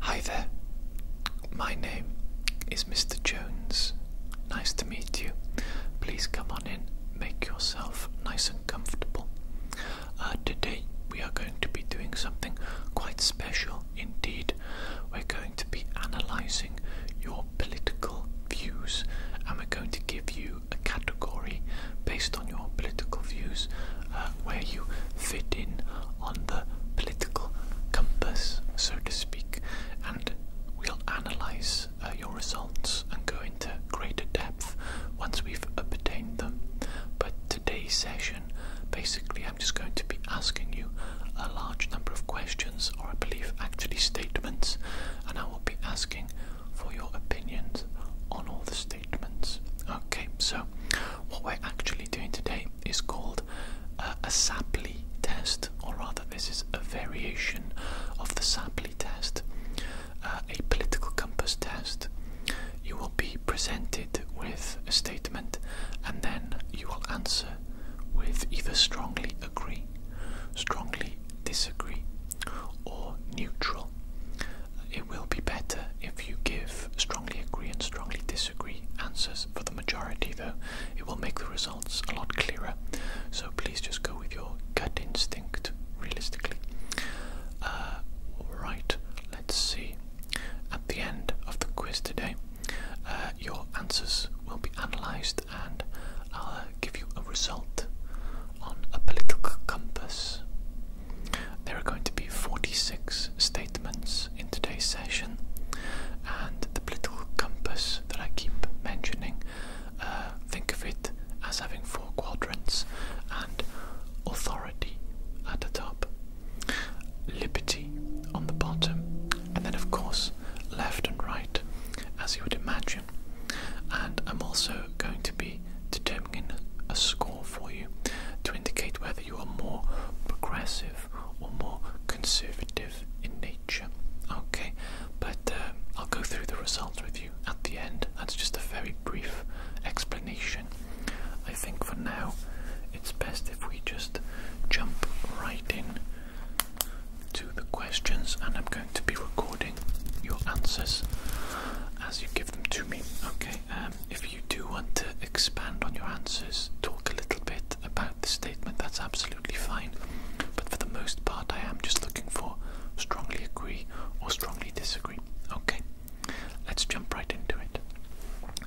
Hi there. My name is Mr. Jones. Nice to meet you. Please come on in, make yourself nice and comfortable. Uh, today we are going to be doing something quite special indeed. We're going to be analysing your political views and we're going to give you a category based on your political views. Uh, where you fit in on the political compass, so to speak, and we'll analyze uh, your results and go into greater depth once we've obtained them. But today's session, basically, I'm just going to be asking you a large number of questions, or I believe actually statements, and I will be asking for your opinions on all the statements. Okay, so what we're actually doing today is called uh, a Sapley test, or rather, this is a variation of the Sapley test, uh, a political compass test. You will be presented with a statement and then you will answer with either strongly agree, strongly disagree, or neutral. It will be better if you give strongly agree and strongly disagree disagree answers for the majority, though it will make the results a lot clearer. So please just go with your gut instinct, realistically. Uh, right, let's see. At the end of the quiz today, uh, your answers will be analysed and I'll uh, give you a result on a political compass. There are going to be 46 statements in today's session, and the political compass that I keep mentioning, uh, think of it as having four quadrants and authority at the top, liberty on the bottom, and then, of course, left and right, as you would imagine. And I'm also going to be determining a score for you to indicate whether you are more progressive or more conservative in nature. Okay, but uh, I'll go through the results with you at the end. That's just a very brief explanation. I think for now it's best if we just jump right in to the questions, and I'm going to be recording your answers as you give them to me. Okay, um, if you do want to expand on your answers, talk a little bit about the statement, that's absolutely fine. But for the most part, I am just looking for strongly agree or strongly disagree. Okay, let's jump right into it.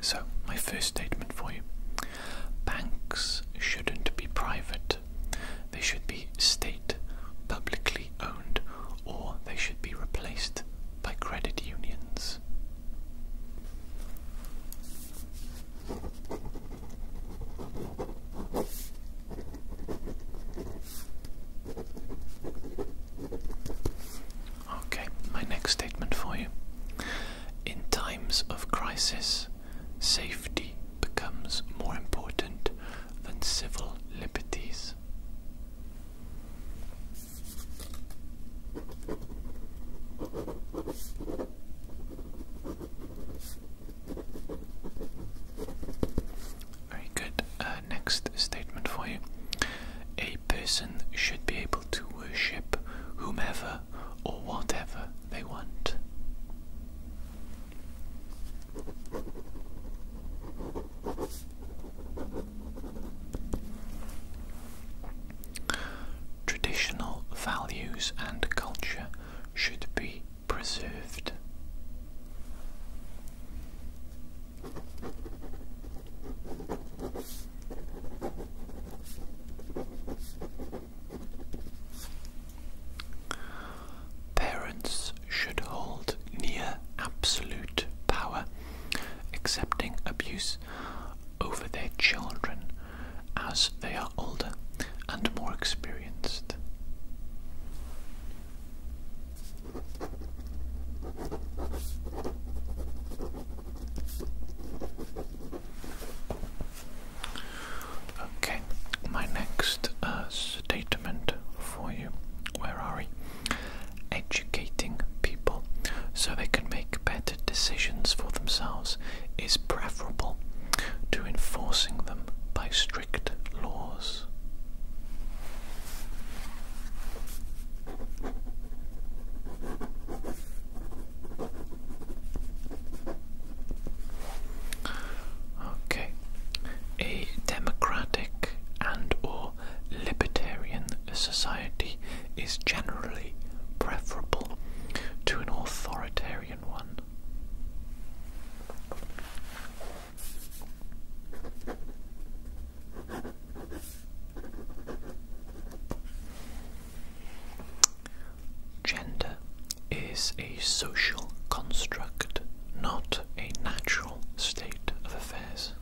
So, my first statement for you banks shouldn't be private, they should be state, publicly owned, or they should be replaced by credit unions. Okay, my next statement for you. In times of crisis, safety becomes more important than civil liberties. Very good. Uh, next statement for you. A person should be able to worship whomever or whatever they want. Traditional values and culture should be preserved. Parents should hold near absolute power, accepting abuse over their children as they are older and more experienced. Okay, my next uh, statement for you. Where are we? Educating people so they can make better decisions for themselves is preferable to enforcing them by strict laws. Okay. A democratic and or libertarian society is generally preferable to an authoritarian one. Gender is a social construct, not a natural state of affairs.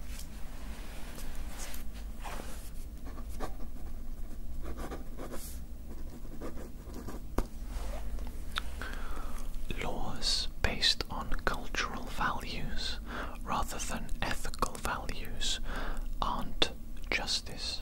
Laws based on cultural values rather than ethical values aren't justice.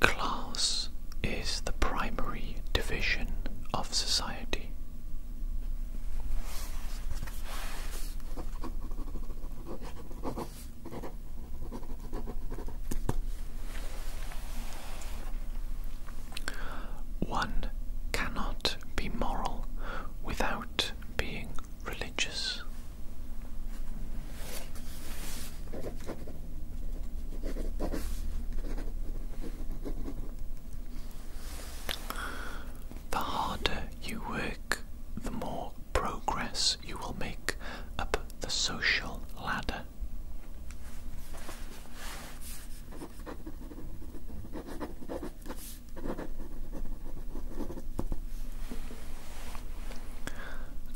Class is the primary division of society. One cannot be moral without being religious. The harder you work, the more progress you will make up the social ladder.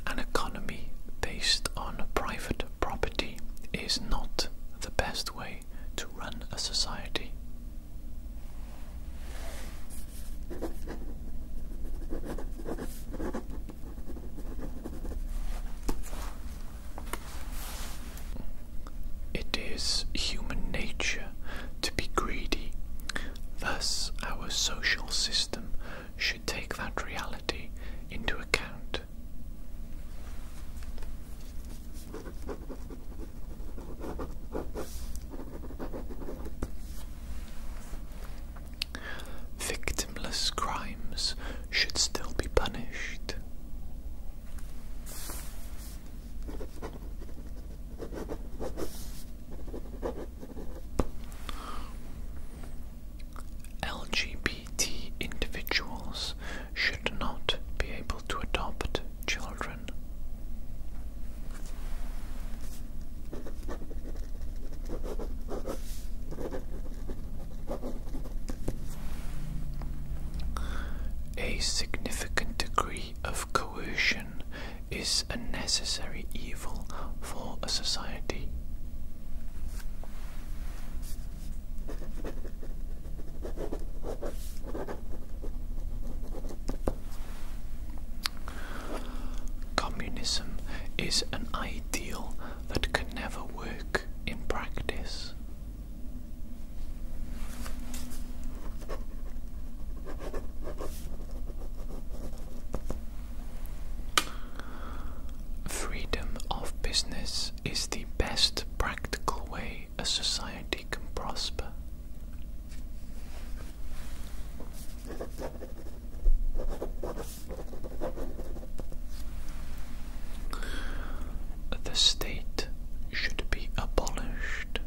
An economy based on private property is not the best way to run a society. It is human nature to be greedy, thus, our social system should take that reality into account. Victimless crimes should still be punished. LGBT individuals should not be able to adopt children. A significant degree of coercion is a necessary evil for a society. Communism is an ideal that can never work in practice. Freedom of business is the best practical way a society can prosper. The state should be abolished.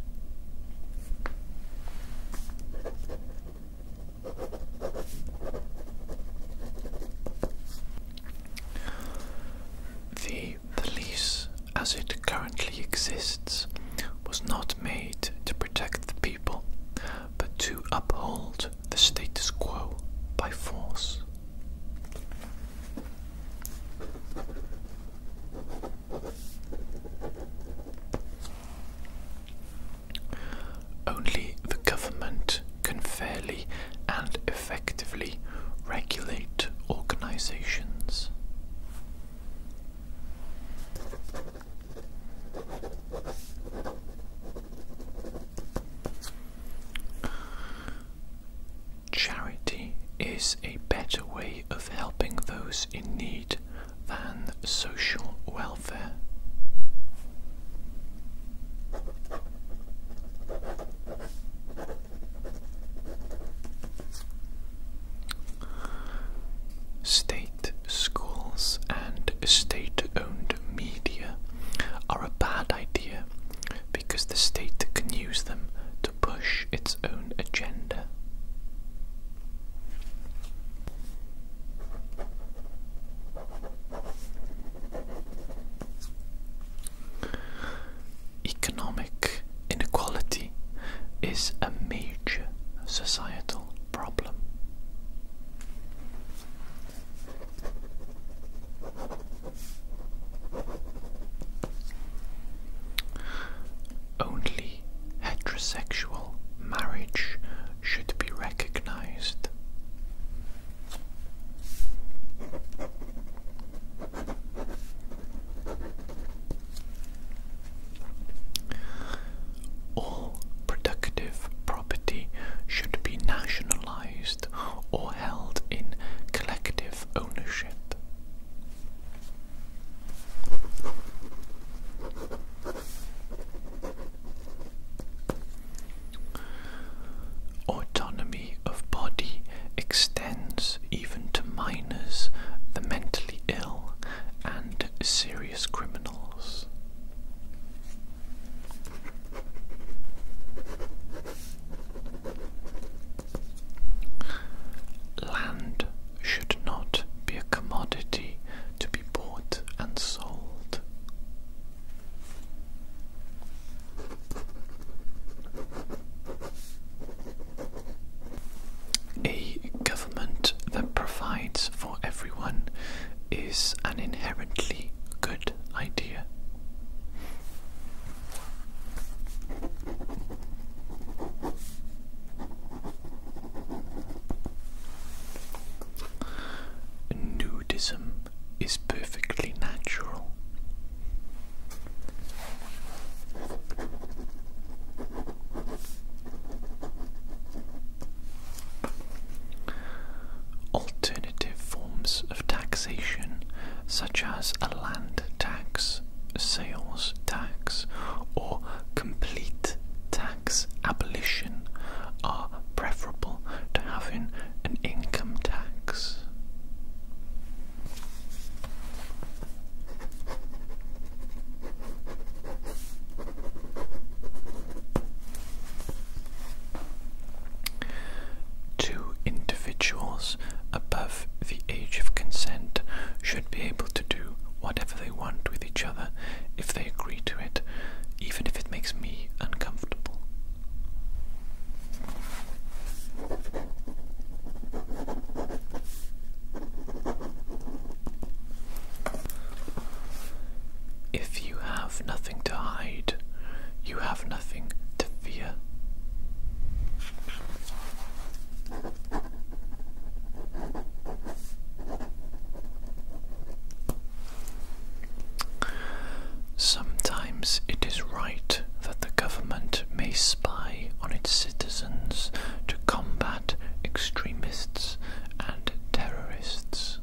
The police, as it currently exists, was not made to protect the people, but to uphold the status quo by force. Only the government can fairly and effectively regulate organizations. Charity is a better way of helping those in need than social welfare. State schools and state owned media are a bad idea because the state can use them to push its own agenda. Economic inequality is a major societal problem. Only heterosexual marriage should be recognized. All productive property should be nationalized or held in collective ownership. Autonomy of body extends even to minors, the mentally ill, and serious criminals. Land should not be a commodity to be bought a government that provides for everyone is an inherently good idea. Nudism is perfectly natural. Alternative forms of taxation, such as a land tax, sales tax, or complete tax tax abolition are preferable to having an income tax. Two individuals above the age of consent should be able to do whatever they want with each if they agree to it, even if it makes me uncomfortable. If you have nothing to hide, you have nothing to fear. Sometimes it is right that the government may spy on its citizens to combat extremists and terrorists.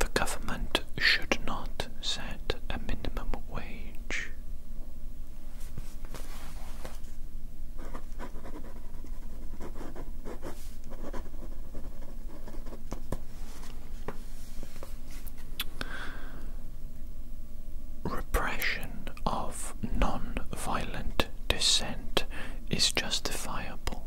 The government should not set a minimum wage. Repression of non violent dissent is justifiable.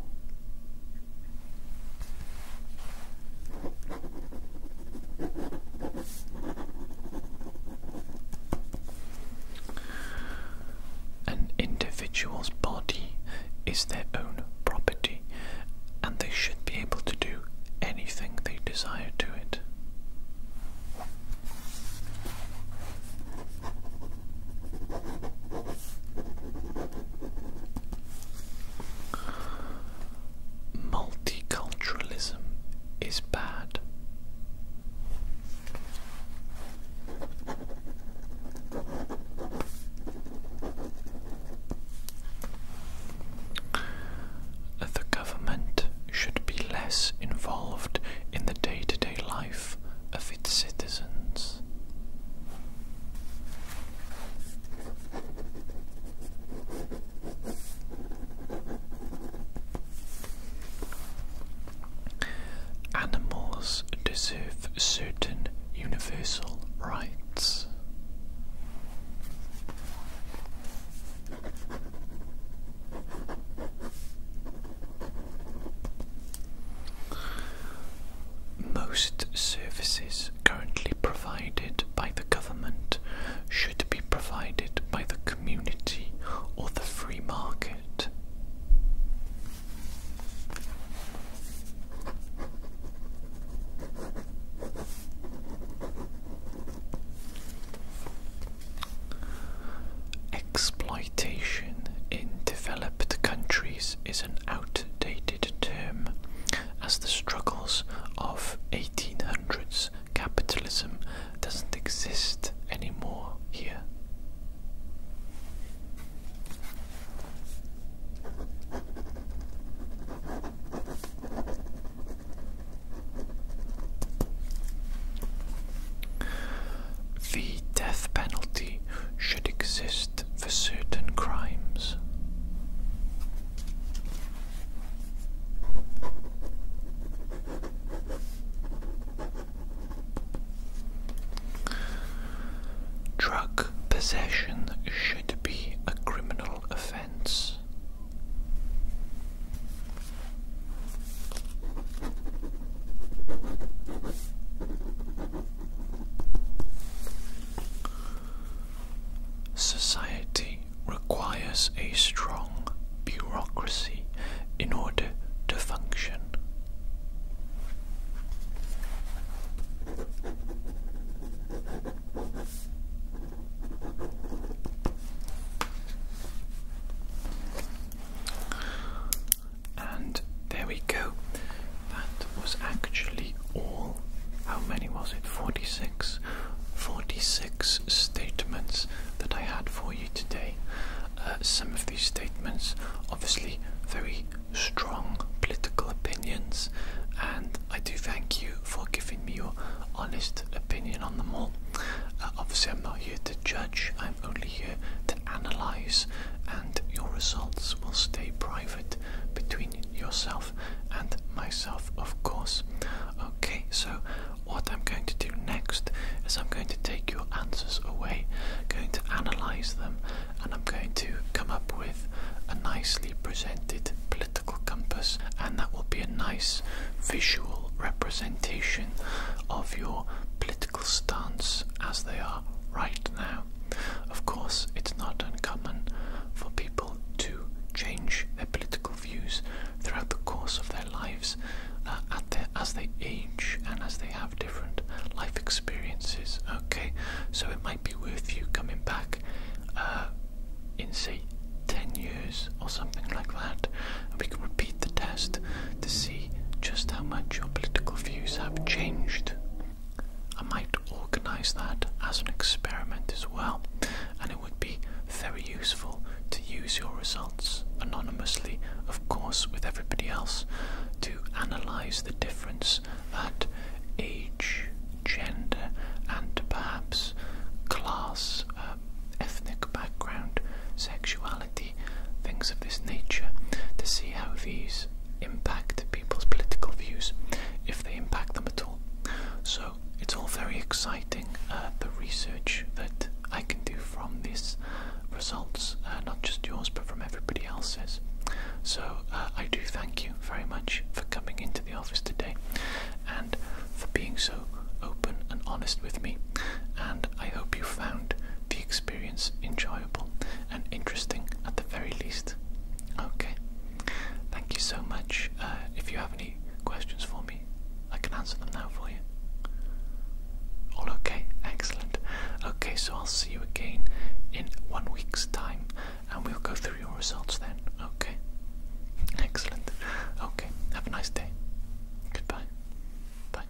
An individual's body is their own property and they should be able to do anything they desire to it multiculturalism is bad. The government should be less involved in the day to day life of its citizens. Animals deserve certain universal rights. Most services currently provided by the government should be provided by the community or the free market. Exploitation in developed countries is an outdated term as the struggles of 1800s capitalism doesn't exist anymore here. The death penalty should exist for certain crimes. Drug possession should be a criminal offence. Society requires a strong bureaucracy in order to function. And there we go. That was actually all. How many was it? 46? 46 statements that I had for you today. Uh, some of these statements, obviously, very strong political opinions, and I do thank you for giving me your honest opinion on them all. Uh, obviously, I'm not here to judge, I'm only here to analyse, and your results will stay private between yourself and myself, of course. Okay, so what I'm going to do next is I'm going to take your answers away, going to analyze them, and I'm going to come up with a nicely presented political compass, and that will be a nice visual representation of your political stance as they are right now. Of course, it's not uncommon for people to change their political views throughout the course of their lives uh, as they age and as they have different life experiences. Okay, so it might be worth you coming back uh, in, say, 10 years or something like that, and we can repeat the test to see just how much your political views have changed. I might organise that as an experiment as well, and it would be very useful to use your results anonymously, of course, with everybody else, to analyse the difference that age, gender, and perhaps class, um, ethnic background, sexuality, things of this nature, to see how these impact people's political views, if they impact them at all. So it's all very exciting, uh, the research that I can do from these results, uh, not just yours but from everybody else's. So uh, I do thank you very much for coming into the office today and for being so open and honest with me. And I hope you found the experience enjoyable and interesting at the very least. Okay, Thank you so much. Uh, if you have any questions for me, I can answer them now for you. All okay? Excellent. Okay, so I'll see you again in one week's time and we'll go through your results then. Okay? Excellent. Okay, have a nice day. Goodbye. Bye.